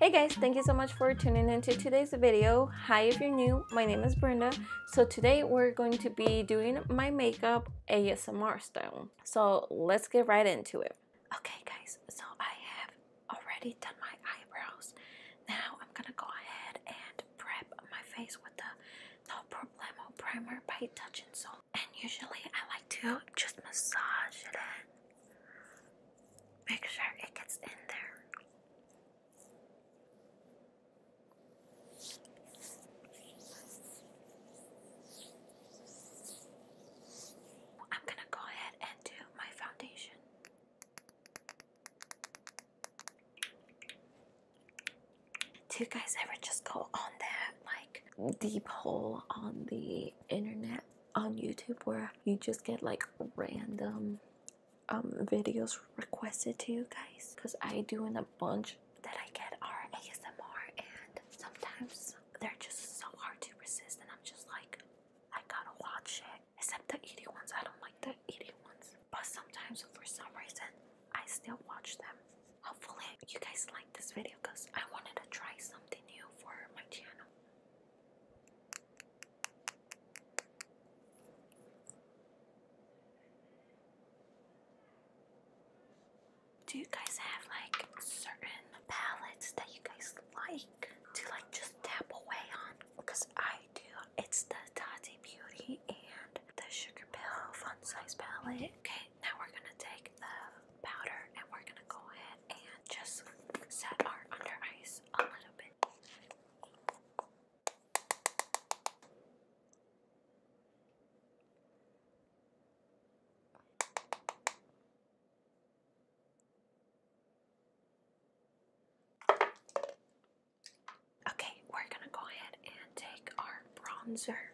Hey guys, thank you so much for tuning into today's video. Hi if you're new, my name is Brenda. So today we're going to be doing my makeup ASMR style. So let's get right into it. Okay guys, so I have already done my eyebrows. Now I'm gonna go ahead and prep my face with the No Problemo primer by Touch and Soul and usually I like to just massage it in. Make sure it gets in there. I'm going to go ahead and do my foundation. Do you guys ever just go on there, like, deep hole on the internet on YouTube where you just get like random um, videos requested to you guys because I do in a bunch that I get are ASMR and sometimes they're just so hard to resist and I'm just like I gotta watch it except the eating ones I don't like the eating ones but sometimes for some reason I still watch them Hopefully you guys like this video because I wanted to try something new for my channel. Do you guys have like certain palettes that you guys like to like just tap away on? Because I do. It's the Tati Beauty and the Sugar Pill Fun Size Palette. Okay, now we're gonna take the powder and we're gonna go ahead and just set our under eyes a little bit. Okay, we're gonna go ahead and take our bronzer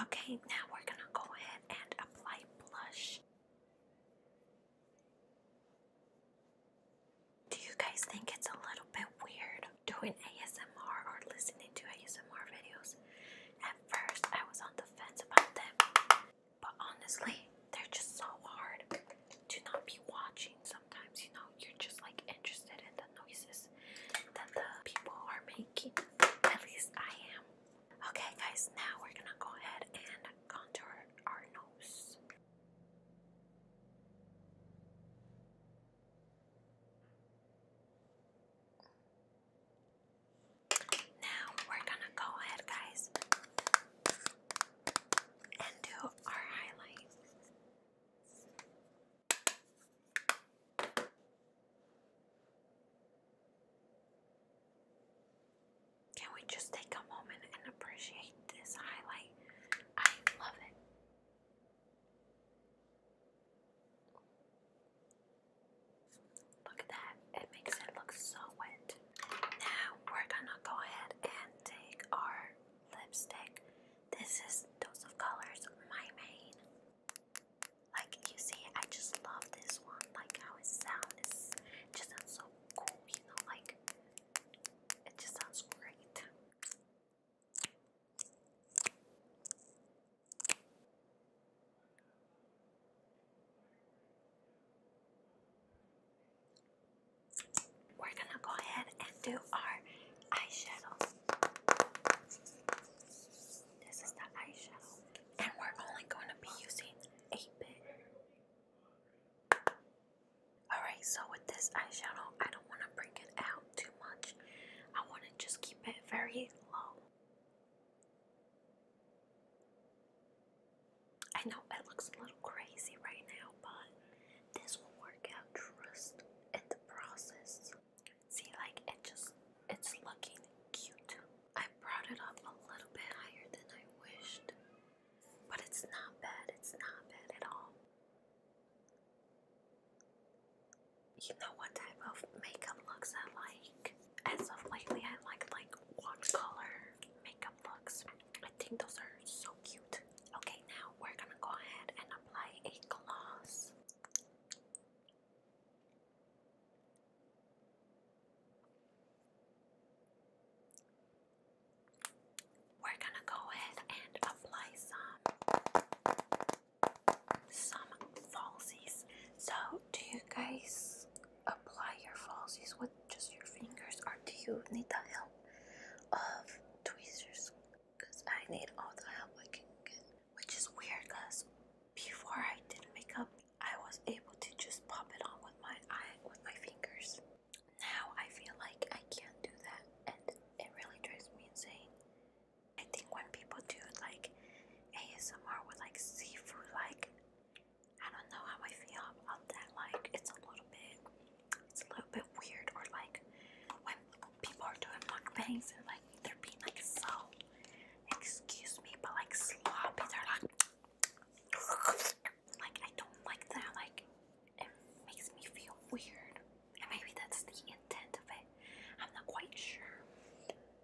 Okay, now we're going to go ahead and apply blush. Do you guys think it's a little bit weird doing ASMR or listening to ASMR videos? At first, I was on the fence about them. But honestly, they're just so hard to not be watching. Sometimes, you know, you're just like interested in the noises that the people are making. At least I am. Okay, guys, now we're gonna go ahead and contour our nose. Now we're gonna go ahead, guys, and do our highlight. Can we just take a moment and appreciate this highlight? I love it. Look at that, it makes it look so wet. Now we're gonna go ahead and take our lipstick. This is Dose of Colors, my main. Like you see, I just love this one, like how it sounds. It just sounds so cool, you know, like it just sounds great. We're gonna go ahead and do our eyeshadow. This is the eyeshadow, and we're only going to be using 8 bit. Alright, so with this eyeshadow, I don't want to bring it out too much, I want to just keep it very low. I know it looks a little crazy right now, but this will work out trust in the process. See, like it just, it's looking cute. I brought it up a little bit higher than I wished, but it's not bad, it's not bad at all. You know what type of makeup looks I like? as of lately, I like like watercolor makeup looks. I think those are so cute. Okay, now we're gonna go ahead and apply a gloss. We're gonna go ahead and apply some some falsies. So do you guys apply your falsies with just your fingers or do you need the help of tweezers? Because I need all the help I can get, which is weird because before I did makeup, I was able to just pop it on with my eye with my fingers. Now I feel like I can't do that, and it really drives me insane. I think when people do like ASMR with like seafood, like I don't know how I feel about that. Like it's a little bit, it's a little bit weird. Or like when people are doing mock mukbangs and like they're being like so, excuse me, but like sloppy. They're like, like I don't like that. Like it makes me feel weird. maybe that's the intent of it. I'm not quite sure.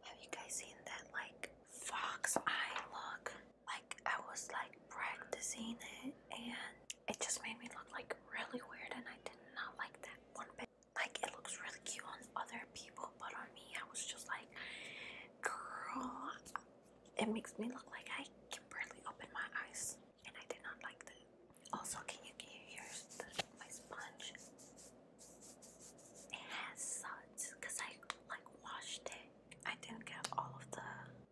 Have you guys seen that like fox eye look? Like I was like practicing it and it just made me look like really weird and I did not like that one bit. Like it looks really cute on other people but on me I was just like girl it makes me look like I can barely open my eyes and I did not like that. Also can you can you hear the, my sponge it has suds because I like washed it. I didn't get all of the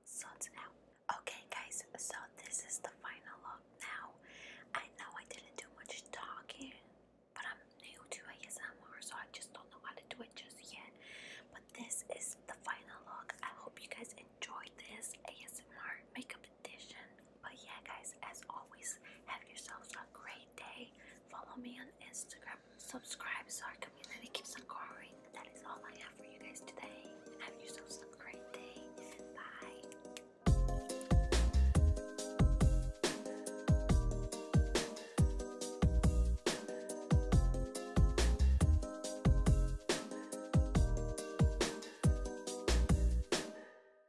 suds out. Okay guys, so this is the final look now. I know I didn't do much talking, but I'm new to ASMR so I just don't know how to do it just yet. But this is the final look. I hope you guys enjoyed this ASMR makeup edition. But yeah guys, as always, have yourselves a great Follow me on Instagram. Subscribe so our community keeps on growing. That is all I have for you guys today. Have yourselves a great day. Bye.